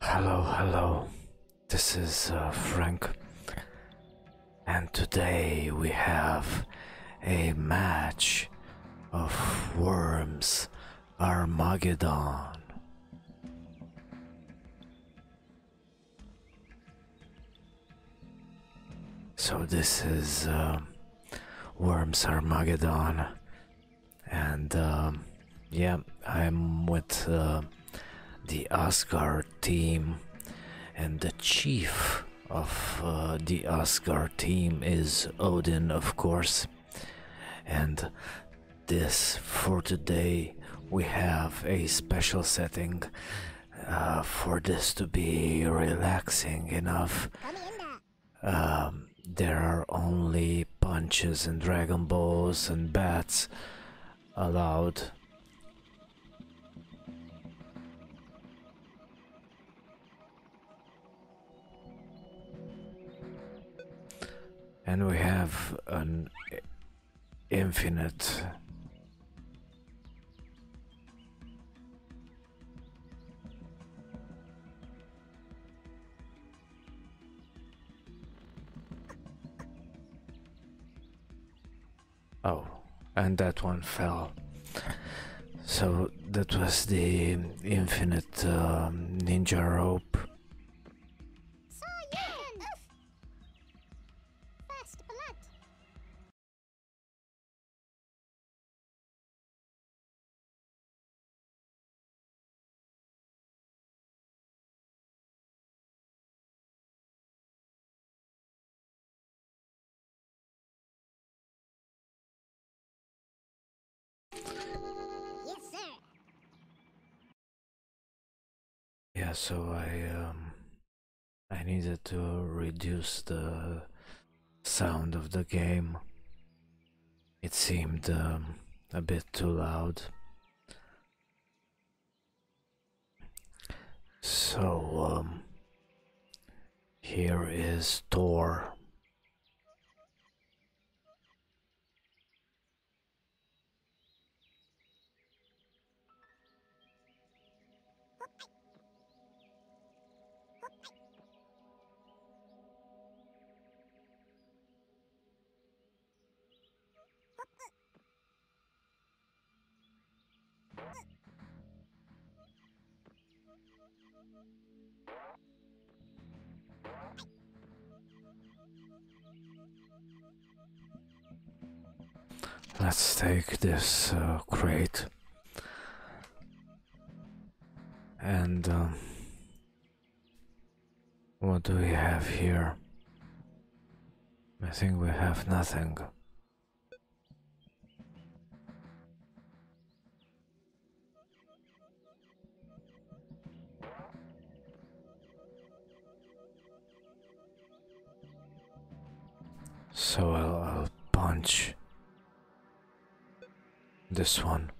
Hello, hello. This is uh, Frank. And today we have a match of Worms Armageddon. So this is uh, Worms Armageddon and um, yeah, I'm with uh, the Asgard team, and the chief of uh, the Asgard team is Odin, of course. And this for today, we have a special setting uh, for this to be relaxing enough um, there are only punches and dragon balls and bats allowed. And we have an infinite Oh, and that one fell. So that was the infinite um, ninja rope yeah so i um i needed to reduce the sound of the game it seemed um, a bit too loud. So, um, here is Thor. Let's take this uh, crate and um, what do we have here? I think we have nothing. So I'll punch this one.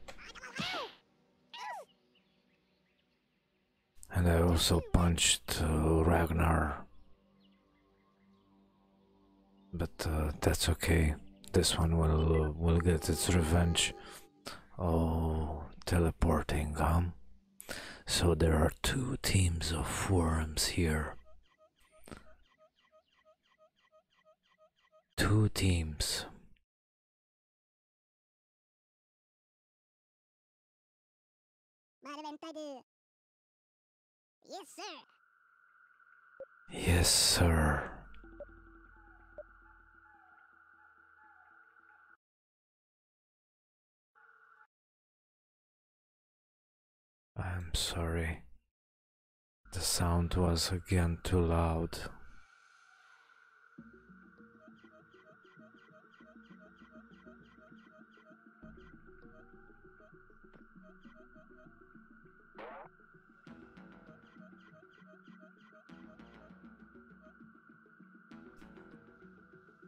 And I also punched uh, Ragnar. But uh, that's okay. This one will uh, will get its revenge. Oh, teleporting, huh? So there are two teams of worms here two teams. Yes, sir. Yes, sir. I'm sorry. The sound was again too loud.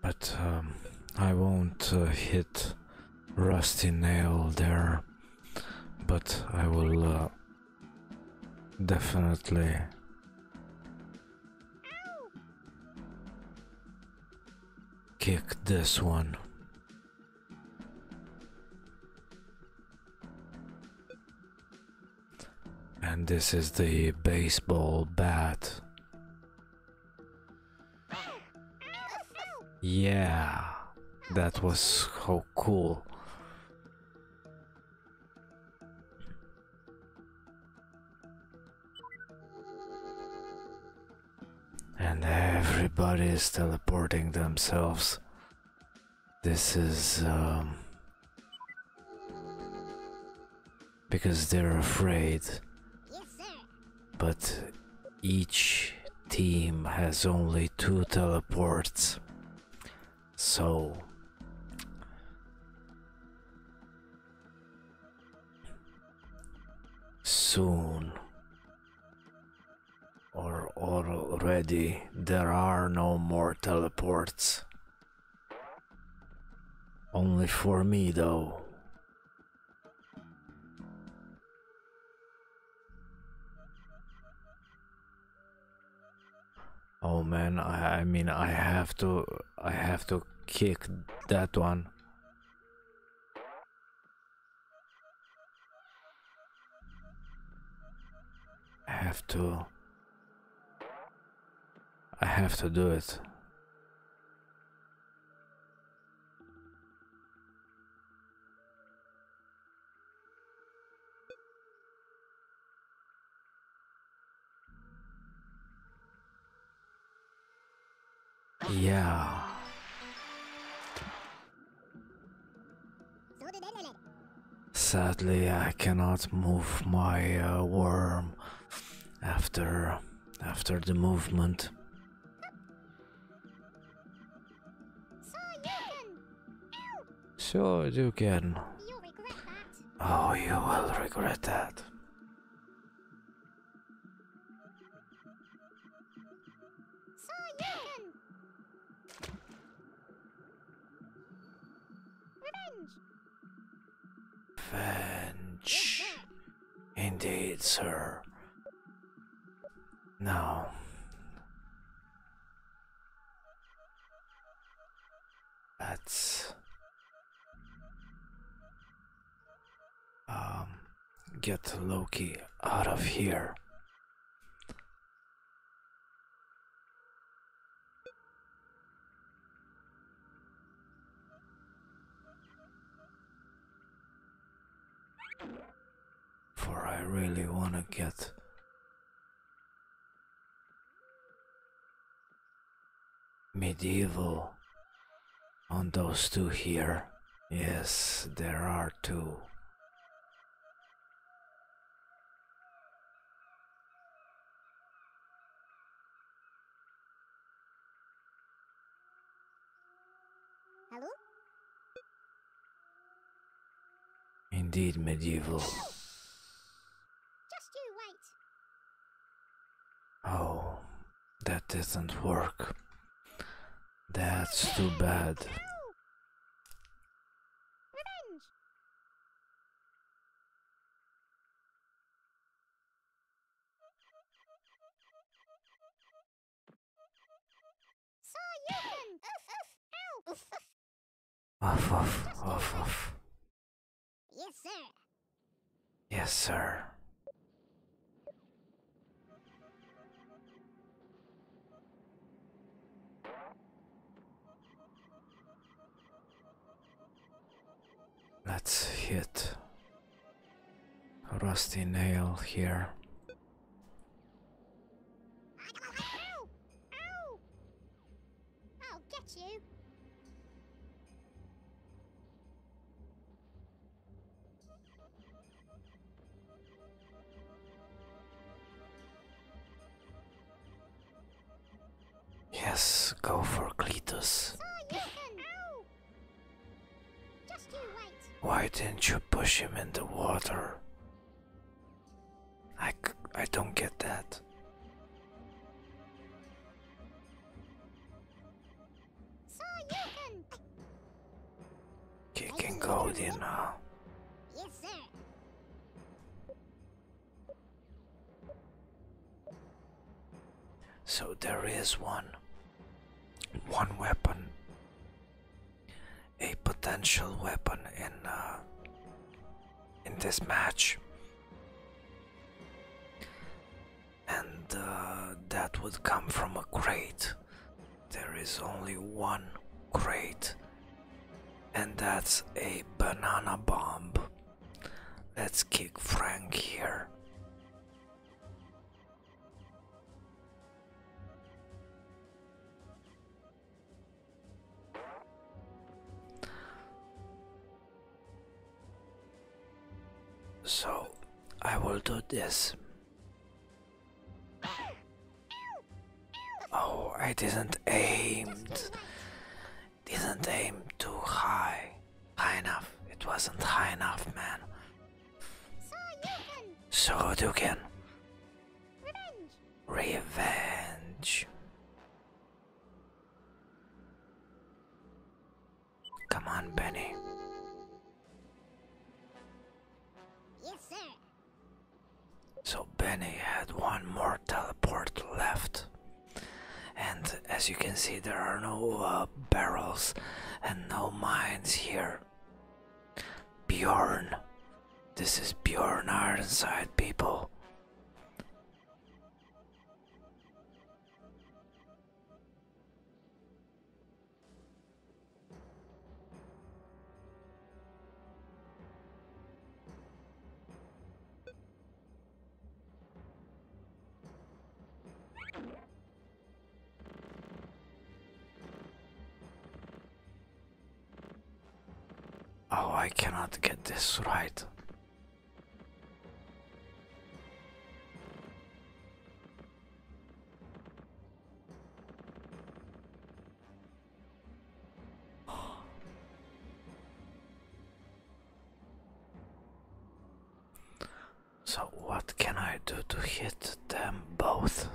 But um, I won't uh, hit rusty nail there but I will uh, definitely kick this one. And this is the baseball bat. Yeah, that was so cool. And everybody is teleporting themselves. This is um, because they're afraid. Yes, but each team has only two teleports. So. Soon. Or already, there are no more teleports. Only for me, though. Oh man, I, I mean, I have to, I have to kick that one. I have to, I have to do it. Yeah. Sadly, I cannot move my uh, worm after after the movement. Sure you can. Oh, you will regret that. Revenge. Indeed, sir. Now, Let's um, get Loki out of here for I really want to get medieval on those two here. Yes, there are two. Hello? Indeed, medieval. Oh, that doesn't work. That's too bad. So you can oof oof Yes, sir. Yes, sir. Let's hit a rusty nail here. I'll get you. Yes, go for Cletus. Oh, Why didn't you push him in the water? I, I don't get that. you can kicking gold, you So there is one, one weapon a potential weapon in uh, in this match, and uh, that would come from a crate. There is only one crate, and that's a banana bomb. Let's kick Frank here. So I will do this. Oh, it didn't aim. Didn't aim too high. High enough. It wasn't high enough, man. So you can. Revenge. Come on, Benny. Yes, sir. So Benny had one more teleport left. And as you can see, there are no uh, barrels and no mines here. Bjorn. This is Bjorn Ironside, people. Oh, I cannot get this right. So, what can I do to hit them both?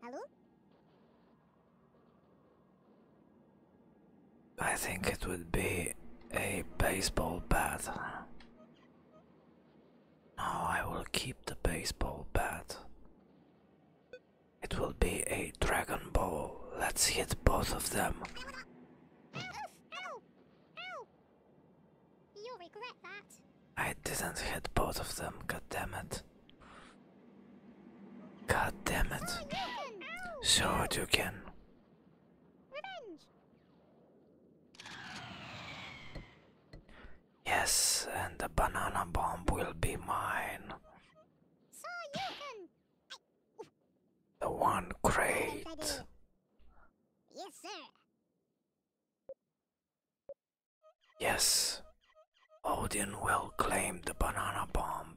Hello? I think it would be a baseball bat. No, I will keep the baseball bat. It will be a Dragon Ball. Let's hit both of them. I didn't hit both of them, god damn it. God damn it. Sure you can. Revenge. Yes, and the banana bomb will be mine. So you can. The one crate. Yes, sir. Yes, Odin will claim the banana bomb.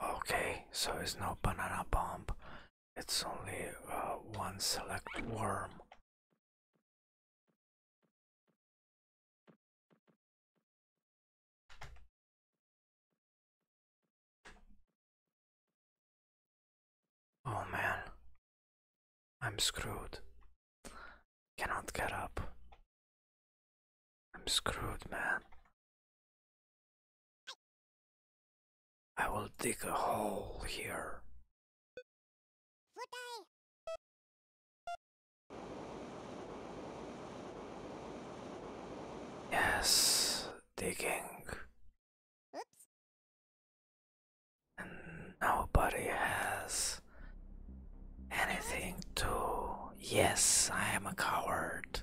Okay, so it's no banana bomb. It's only uh, one select worm. Oh man. I'm screwed. Cannot get up. I'm screwed, man. I will dig a hole here. Yes, digging. Oops. And nobody has. Anything to. Yes, I am a coward.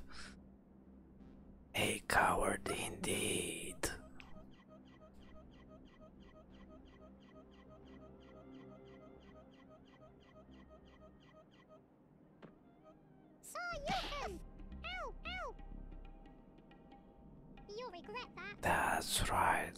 A coward indeed. So you can. Ow, ow. You regret that. That's right.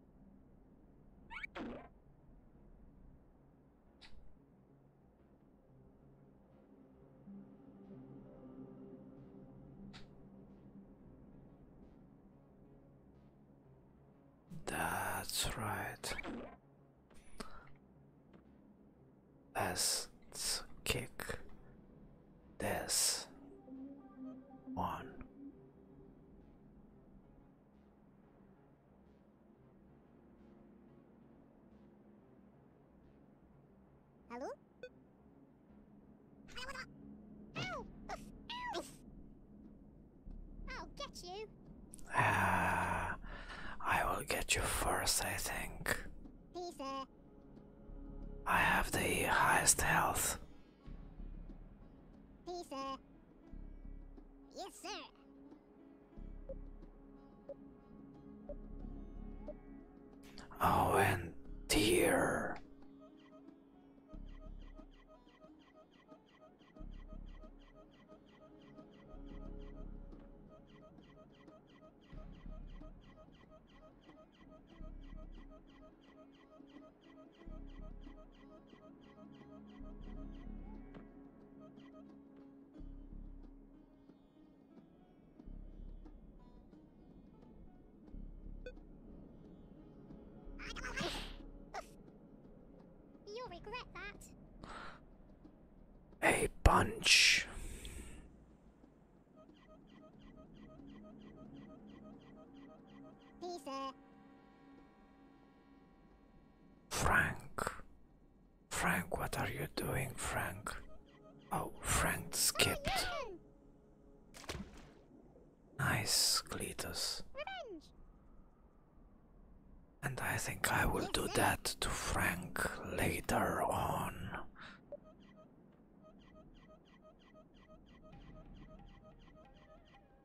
That's right. Let's kick this one Hallo? Ow! I'll get you. Ah, I will get you first, I think. Please, sir. I have the highest health. Peace, sir. Yes, sir. Oh, and dear. A bunch. Frank. Frank, what are you doing, Frank? Oh, Frank skipped. Nice, Cletus. And I think I will do that to Frank later on.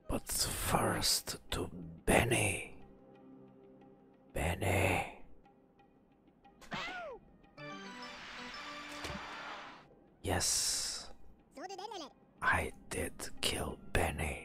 But first to Benny. Benny. Yes. I did kill Benny.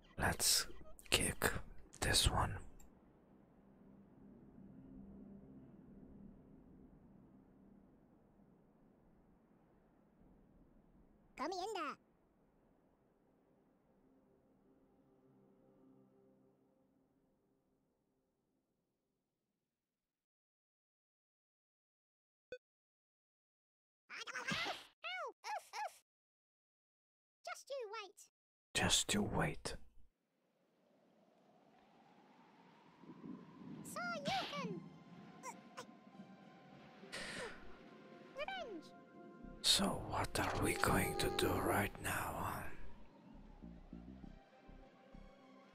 Let's kick this one. Come in there. Just you wait. Just you wait. So you can. Revenge. So what are we going to do right now?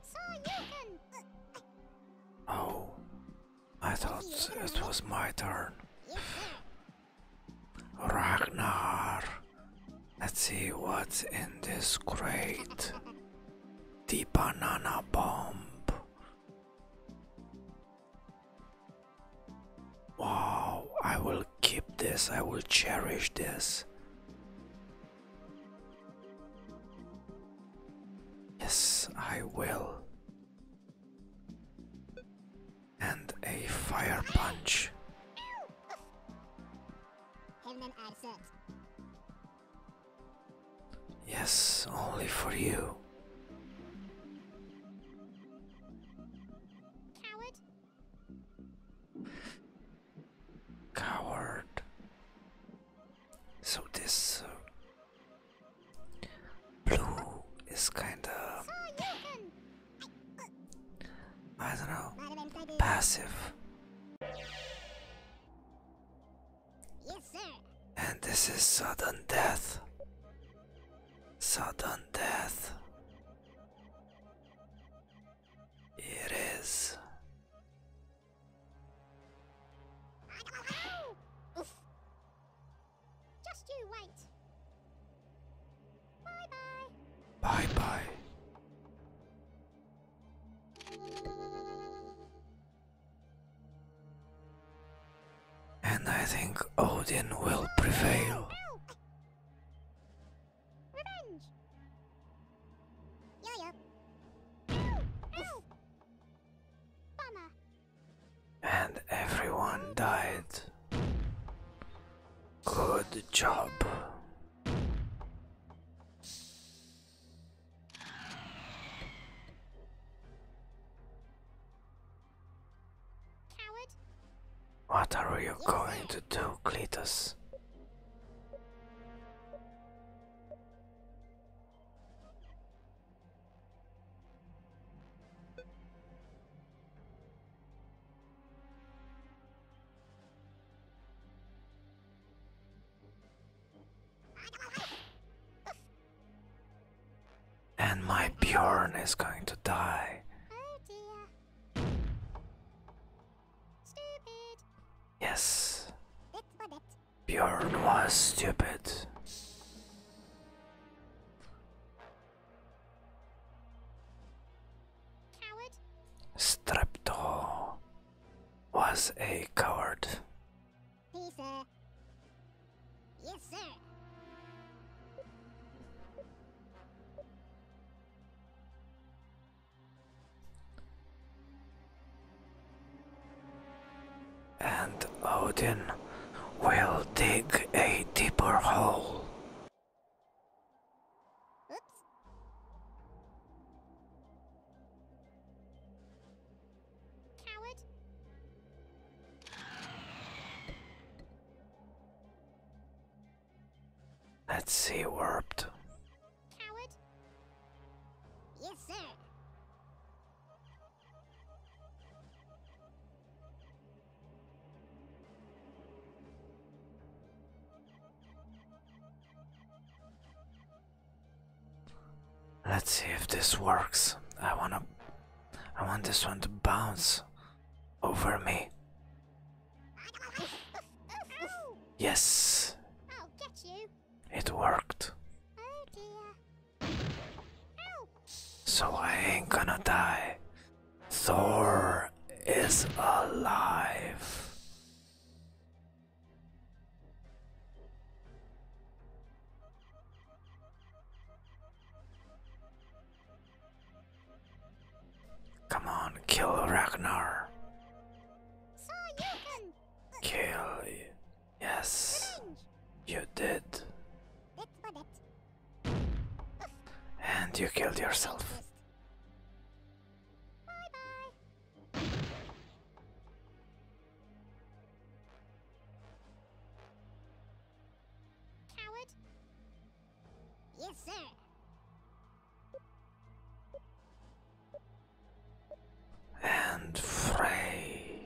So you can. Oh, I thought it was my turn. Ragnar. Let's see what's in this crate. The banana bomb. Wow, I will keep this, I will cherish this. Yes, I will and a fire punch. Yes, only for you. Coward. So this uh, Blue is kind of I don't know passive. And this is sudden death. Sudden death. It is. Just you wait. Bye bye. Bye bye. And I think Odin will prevail. And everyone died. Good job. Coward. What are you going to do, Cletus? And my Bjorn is going to die. Oh, yes. Bjorn was stupid. Strepto was a coward. Yes, sir and Odin will dig a deeper hole. Oops. Coward. Let's see, warped. Coward. Yes, sir. Let's see if this works. I wanna I want this one to bounce over me. Yes. It worked. Oh, so I ain't gonna die. Thor is alive. Come on, kill Ragnar. So you can kill Yes, you did. And you killed yourself. Yes, sir. And Frey,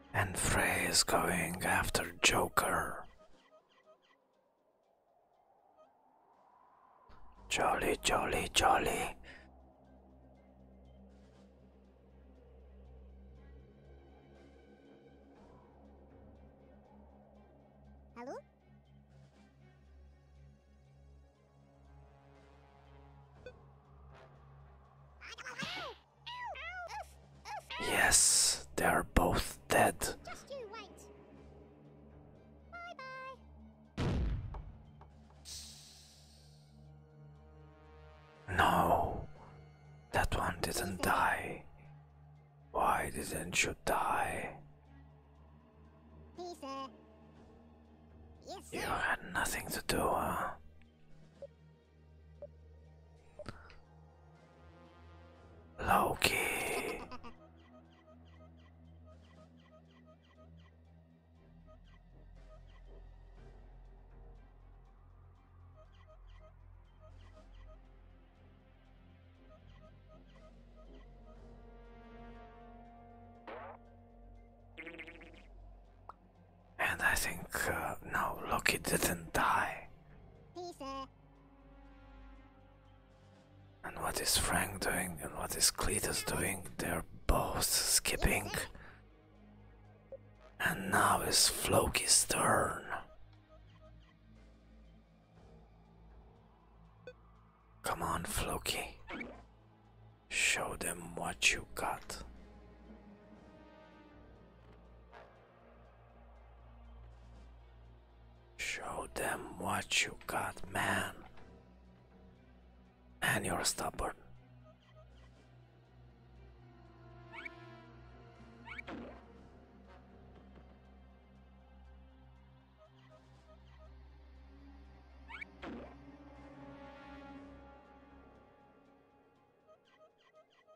And Frey is going after Joker. Jolly, jolly, jolly. Hello? Yes, they are both dead. No, that one didn't die. Why didn't you die? You had nothing to do, huh? Loki. And I think, uh, no, Loki didn't die. And what is Frank doing and what is Cletus doing? They're both skipping. And now it's Floki's turn. Come on, Floki. Show them what you got. Show them what you got, man. And you're stubborn.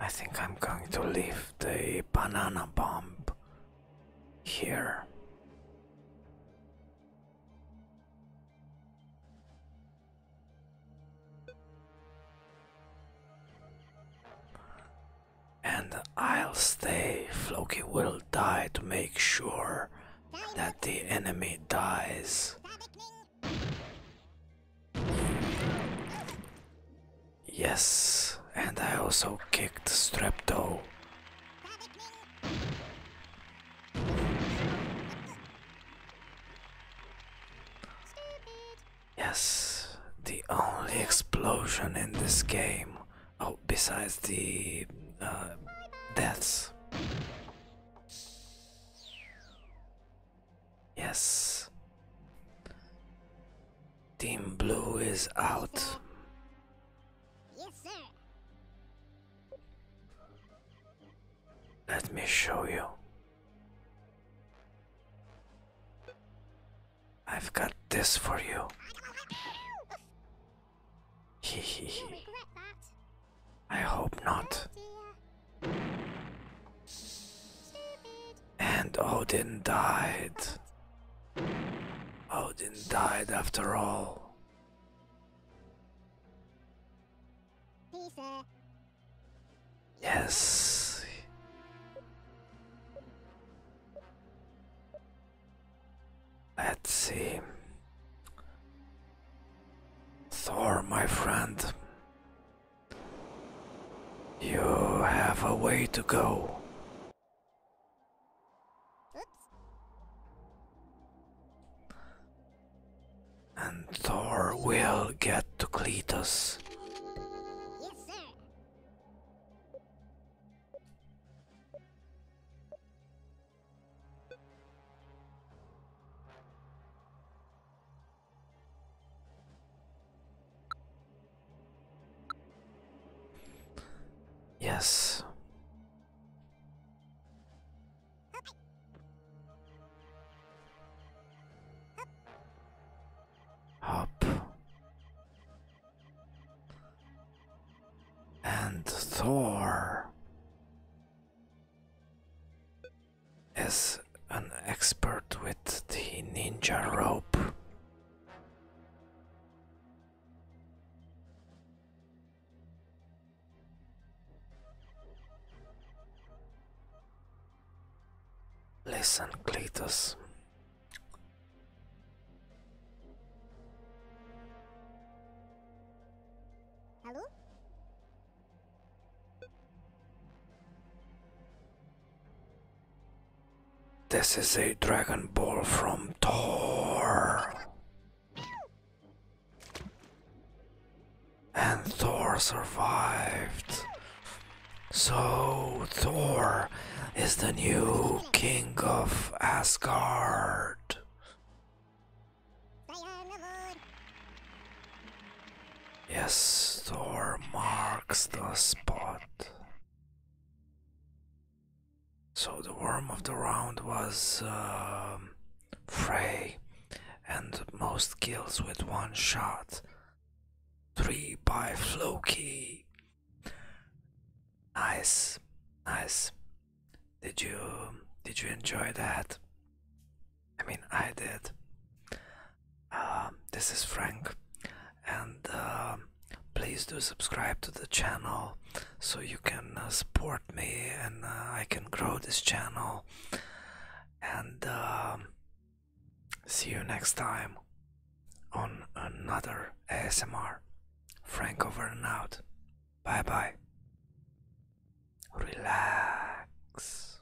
I think I'm going to leave the banana bomb here. And I'll stay. Floki will die to make sure that the enemy dies. Yes, and I also kicked Strepto. Yes, the only explosion in this game. Oh, besides the uh, deaths. Yes. Team Blue is out. Yes, sir. Let me show you. I've got this for you. Hehehe. I hope not. And Odin died. Odin died after all. Yes. Let's see. Thor, my friend. You have a way to go. And Thor will get to Cletus. Yes, sir. Yes. Hop and Thor is an expert with the ninja rope. Listen, Cleitus. Hello? This is a Dragon Ball from Thor. And Thor survived. So Thor is the new king of Asgard. Yes, Thor marks the spot so the worm of the round was uh, Frey, and most kills with one shot. Three by Floki. Nice, nice. Did you did you enjoy that? I mean, I did. Um, this is Frank, and um, please do subscribe to the channel so you can uh, support me and uh, I can grow this channel. And um, see you next time on another ASMR. Frank over and out. Bye bye. Relax.